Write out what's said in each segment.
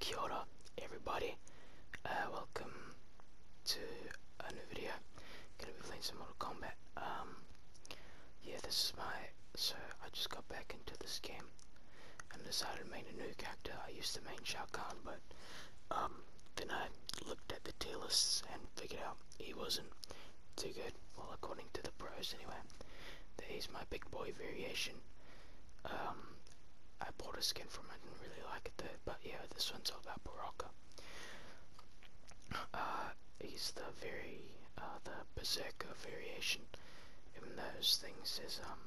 Kia ora everybody, uh, welcome to a new video. Gonna be playing some Mortal Kombat. Um, yeah, this is my, so I just got back into this game and decided to make a new character. I used to main Shao Kahn, but um, then I looked at the tier and figured out he wasn't too good, well according to the pros anyway. There's my big boy variation. Um, I bought a skin from it didn't really like it though, but yeah, this one's all about Baraka. Uh, he's the very, uh, the Berserker variation, even though his thing says, um,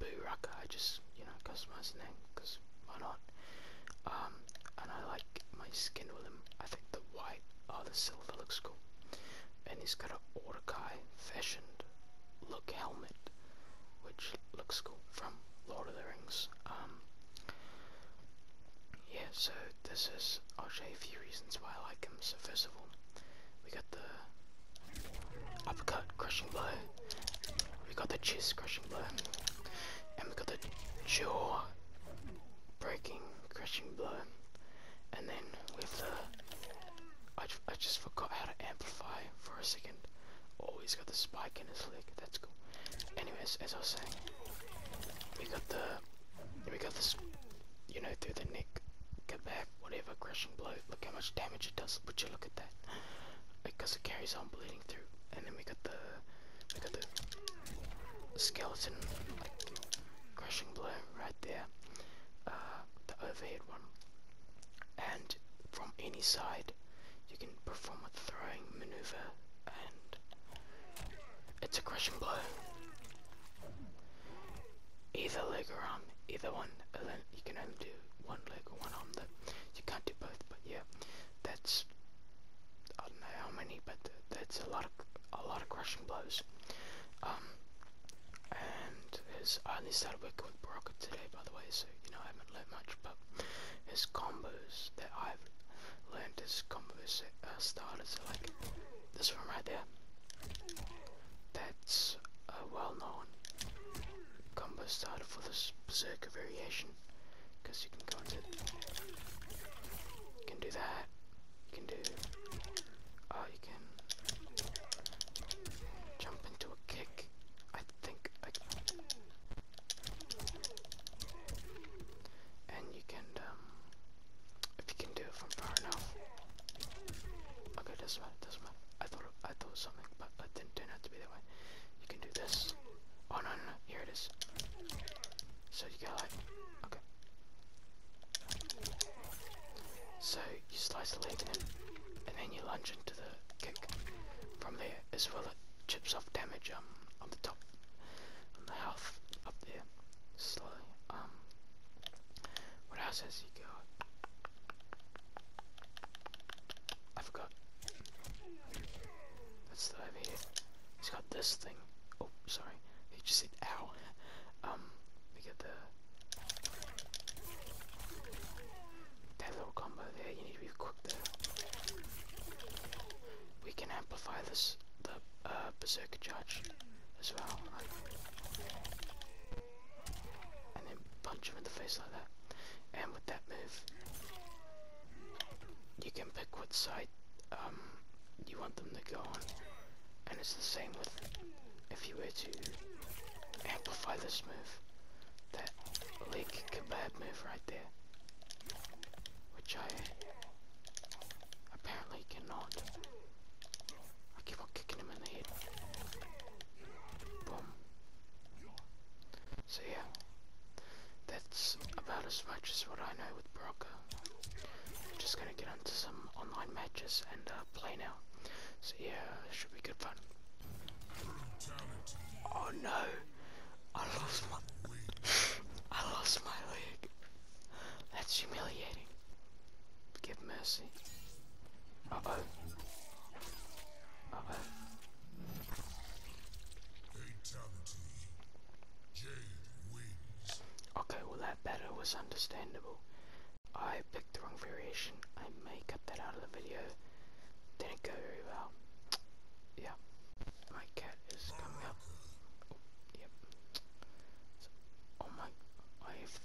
Buraka, I just, you know, customized the name, because why not? Um, and I like my skin with him, I think the white, or oh, the silver looks cool and he's got an Orkai fashioned look helmet, which looks cool from Lord of the Rings. Um, yeah, so this is, I'll show you a few reasons why I like him. So first of all, we got the uppercut crushing blow, we got the chest crushing blow, and we got the jaw breaking crushing blow and then with the, uh, I, I just forgot how to amplify for a second. Oh, he's got the spike in his leg. That's cool. Anyways, as I was saying, we got the, we got this, you know, through the neck, get back, whatever, crushing blow. Look how much damage it does. Would you look at that? Because it carries on bleeding through. And then we got the, we got the skeleton, crushing blow right there. Uh, the overhead one and from any side you can perform a throwing maneuver and it's a crushing blow either leg or arm either one you can only do one leg or one arm though you can't do both but yeah that's I don't know how many but that's a lot of a lot of crushing blows um, and I only started working with Baraka today by the way so you know I haven't learned much but his combos that I've learned his combos that uh, like this one right there that's a well known combo starter for this berserker variation because you can go into you can do that you can do uh, I can jump into a kick. I think I can. And you can, um, if you can do it from far enough. Okay, doesn't matter, does I thought, I thought something, but it didn't turn to be that way. You can do this. Oh, no, no, here it is. So you get like, okay. So you slice the leg in and then you lunge into the kick from there as well it chips off damage um on the top on the health up there slowly um what else has he got I forgot that's the over here he's got this thing oh sorry he just said out. um we get the that little combo there, you need to be quick We can amplify this, the uh, Berserker Charge as well. and then punch him in the face like that. And with that move, you can pick what side um, you want them to go on. And it's the same with if you were to amplify this move. That leg kebab move right there. Which I apparently cannot. I keep on kicking him in the head. Boom. So yeah. That's about as much as what I know with Baraka. I'm just gonna get into some online matches and uh, play now. So yeah, should be good fun. Oh no! I lost my I lost my leg. That's humiliating. Give mercy. Okay, well that better was understandable. I picked the wrong variation. I may cut that out of the video. Didn't go very well. Yeah. My cat is coming up. yep. oh my, I've...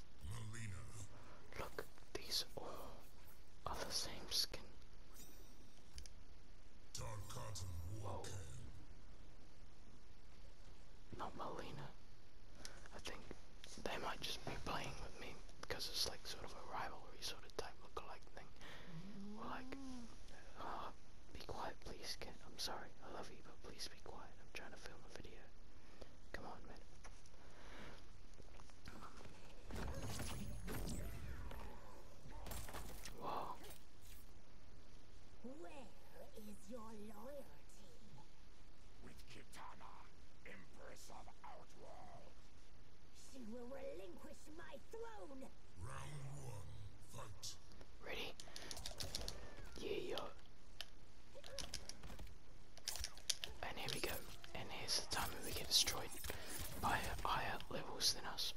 Look, these all are the same skin. Whoa. Not Melina. I think they might just be playing with me because it's like sort of a rivalry sort of type of lookalike thing. We're like, ah, be quiet, please, kid. I'm sorry. I love you, but please be quiet. I'm trying to film a video. Come on, man. Where is your loyalty? With Kitana, Empress of Outworld. She will relinquish my throne. Round one, fight. Ready? Yeah, And here we go. And here's the time when we get destroyed by higher levels than us.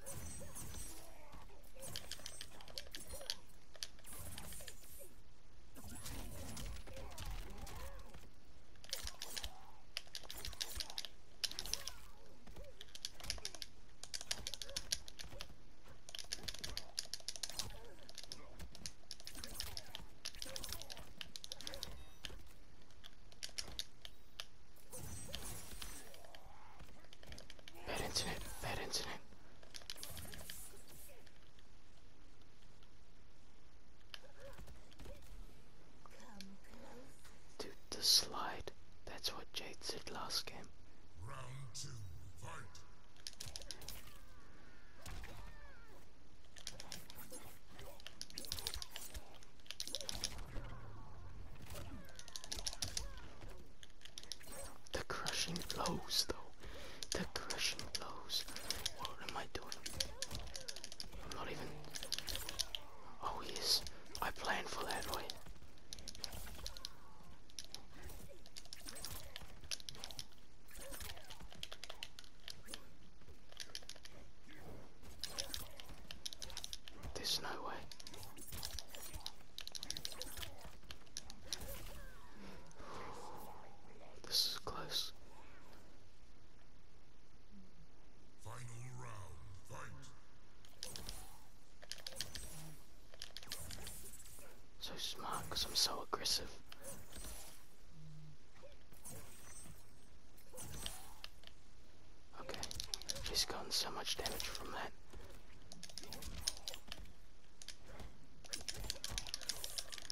Bad incident, bad incident. Dude, the slide. That's what Jade said last game. The crushing blows, though. The crushing blows. What am I doing? Not even. Oh yes, I planned for that, way. There's no way. This is close. Final round. Fight. So smart because I'm so aggressive. Okay, she's gotten so much damage from that.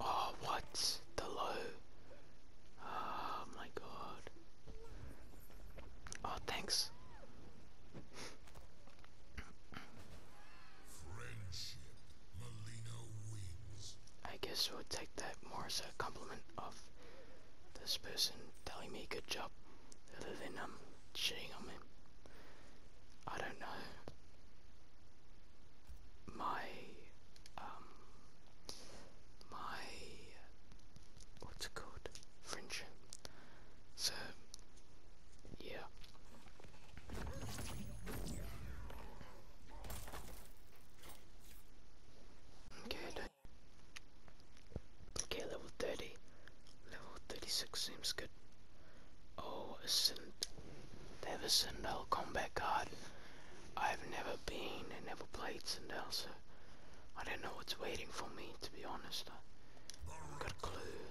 Oh, what? The low. Oh my god. Oh, thanks. I guess we'll take that more as a compliment of this person telling me good job, rather than um shitting on me. I don't know. My um my what's it called? French. So yeah. Okay, okay, level 30. Level 36 seems good. Oh, a Never seen there the combat card? I've never been and never played Sindel, so I don't know what's waiting for me, to be honest. I have got a clue.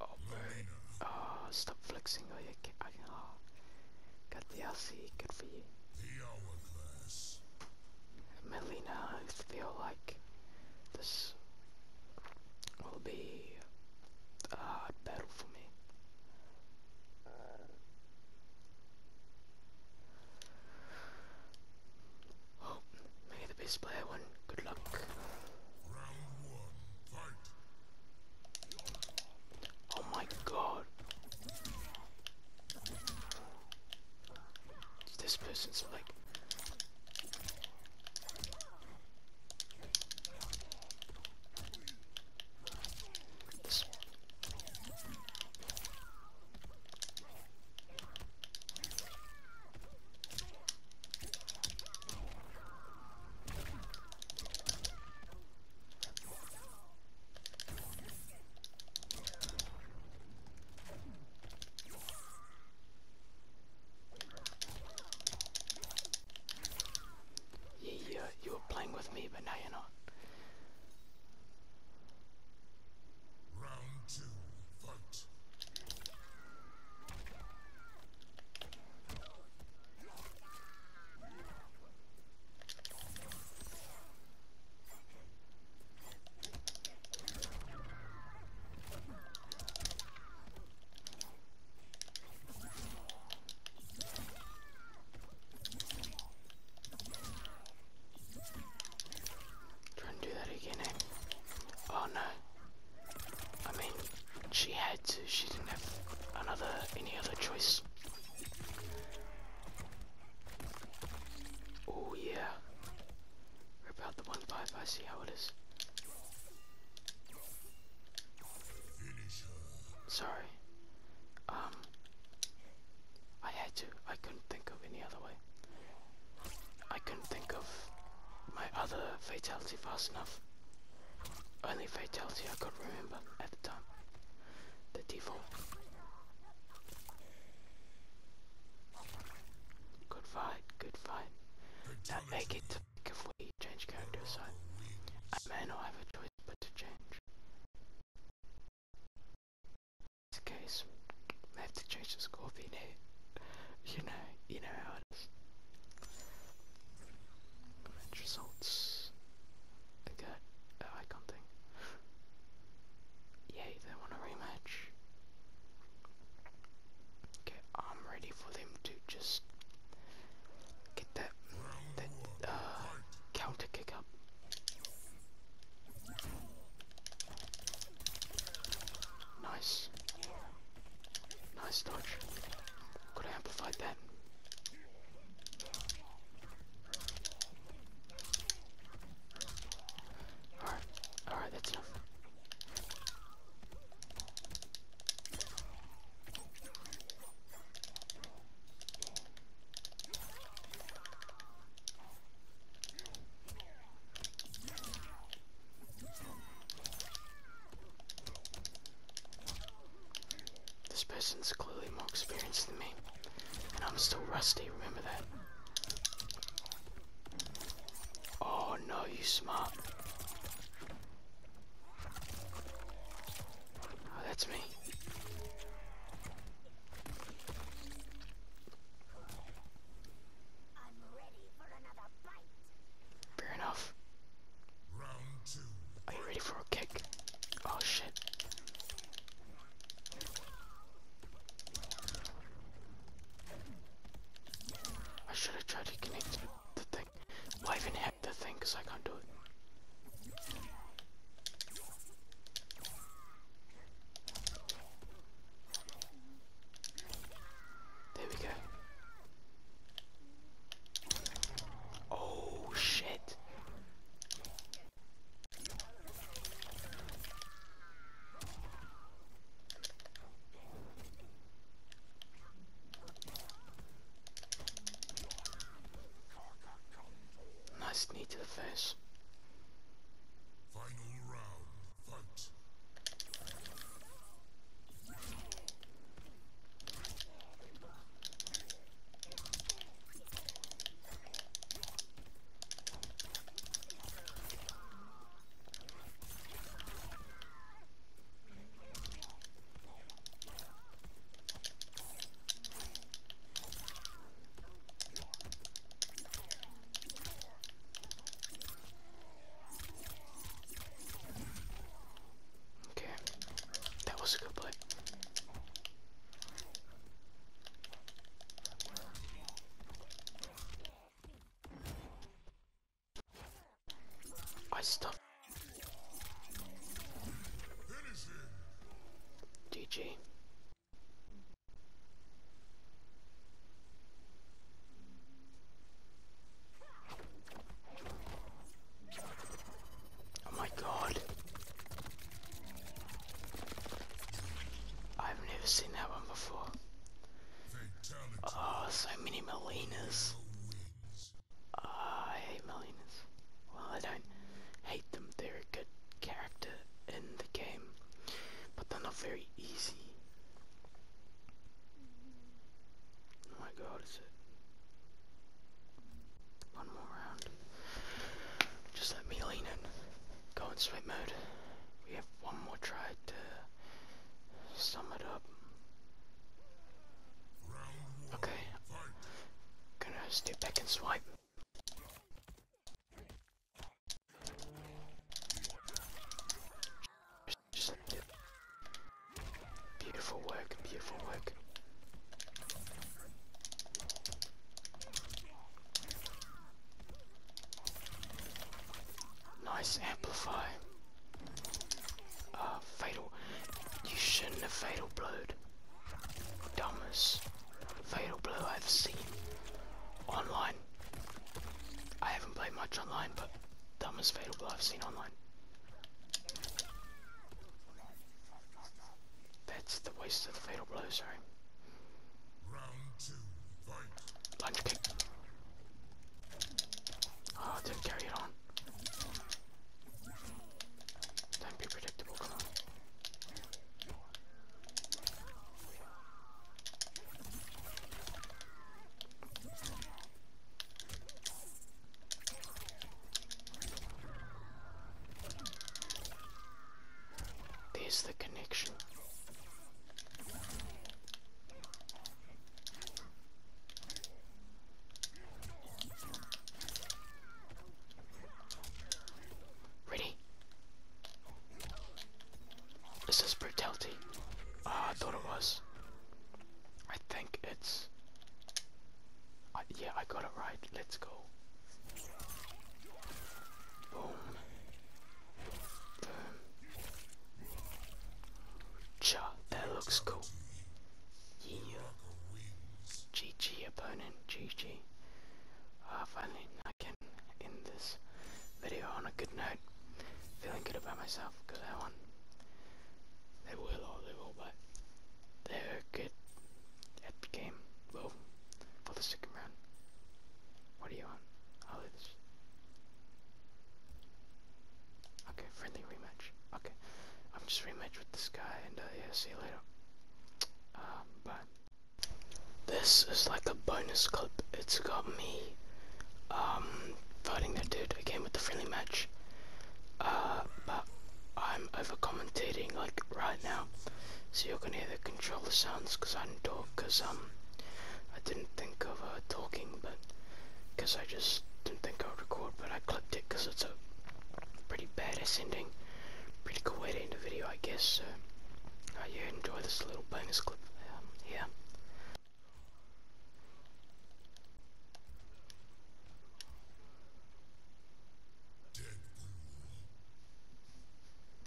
Oh, oh, stop flexing or oh, I Got the RC, good for you. Melina, I feel like this will be a hard battle for me. Oh, may the best player win. Good luck. Oh my god. This person's like this. Yeah, you, were playing with me, but now you're not. Try and do that again, eh? Oh no. I mean, she had to. She didn't have another, any other choice. Oh yeah. Rip out the one five. I see how it is. Sorry. Um, I had to. I couldn't think of any other way. I couldn't think of my other fatality fast enough. Only fatality I could remember at the time. The default. Good fight, good fight. Now make it to if we change character side. I may not have a choice but to change. In this case, I have to change the scorpion here. You know, you know how it is. results. Okay, oh, uh, I yeah, they want a rematch. Okay, I'm ready for them to just get that, that uh, counter kick up. Nice. Nice dodge. Could have amplified that. Alright, alright, that's enough. This person's clearly more experienced than me, and I'm still rusty, remember that. Oh no, you smart. Oh, that's me. Fair enough. Are you ready for a kick? Oh shit. I should have tried to connect the thing. I even hacked the thing because I can't do it. There we go. Oh shit. Nice knee to the face. Final round, fight. Okay, that was a good play. I stuffed. GG. Oh my god. I've never seen that one before. Oh, so many Melinas. Ah, I hate Melinas. Well, I don't hate them. They're a good character in the game, but they're not very easy. Oh my god, One more round. Just let me lean in go in sweat mode. We have one more try to sum it up. Okay. Gonna step back and swipe. Beautiful work, beautiful work. Nice amplify. Ah, fatal. You shouldn't have fatal blowed. Dumbest fatal blow I've seen online. I haven't played much online, but dumbest fatal blow I've seen online. That's the waste of the fatal blow, sorry. Lunge kick. Oh, did carry it on. Don't be predictable, There's the connection. Ready? Is this brutality? Oh, uh, I thought it was. I think it's... Uh, yeah, I got it right. Let's go. Boom. Cha, that looks cool. Yeah. GG opponent, GG. Ah, finally, I can end this video on a good note. Feeling good about myself because I won. They were low level, but they were good at the game. Well, for the second round. What do you want? I'll Okay, friendly rematch. Okay, I'm just rematch with this guy, and uh, yeah, see you later. Um, bye. This is like a bonus clip. It's got me, um, fighting that dude again with the friendly match. Uh, but I'm overcommentating like right now, so you're gonna hear the controller sounds because I do not talk because um I didn't think of uh, talking, but because I just didn't think I would record, but I clipped it because it's a pretty badass ending, pretty cool way to end the video, I guess. So, uh, yeah, enjoy this little bonus clip Yeah. Um,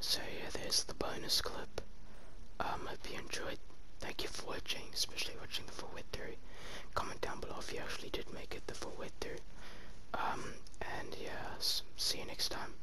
So yeah, there's the bonus clip. Um, hope you enjoyed. Thank you for watching, especially watching the full way through. Comment down below if you actually did make it the full way through. Um, and yeah, see you next time.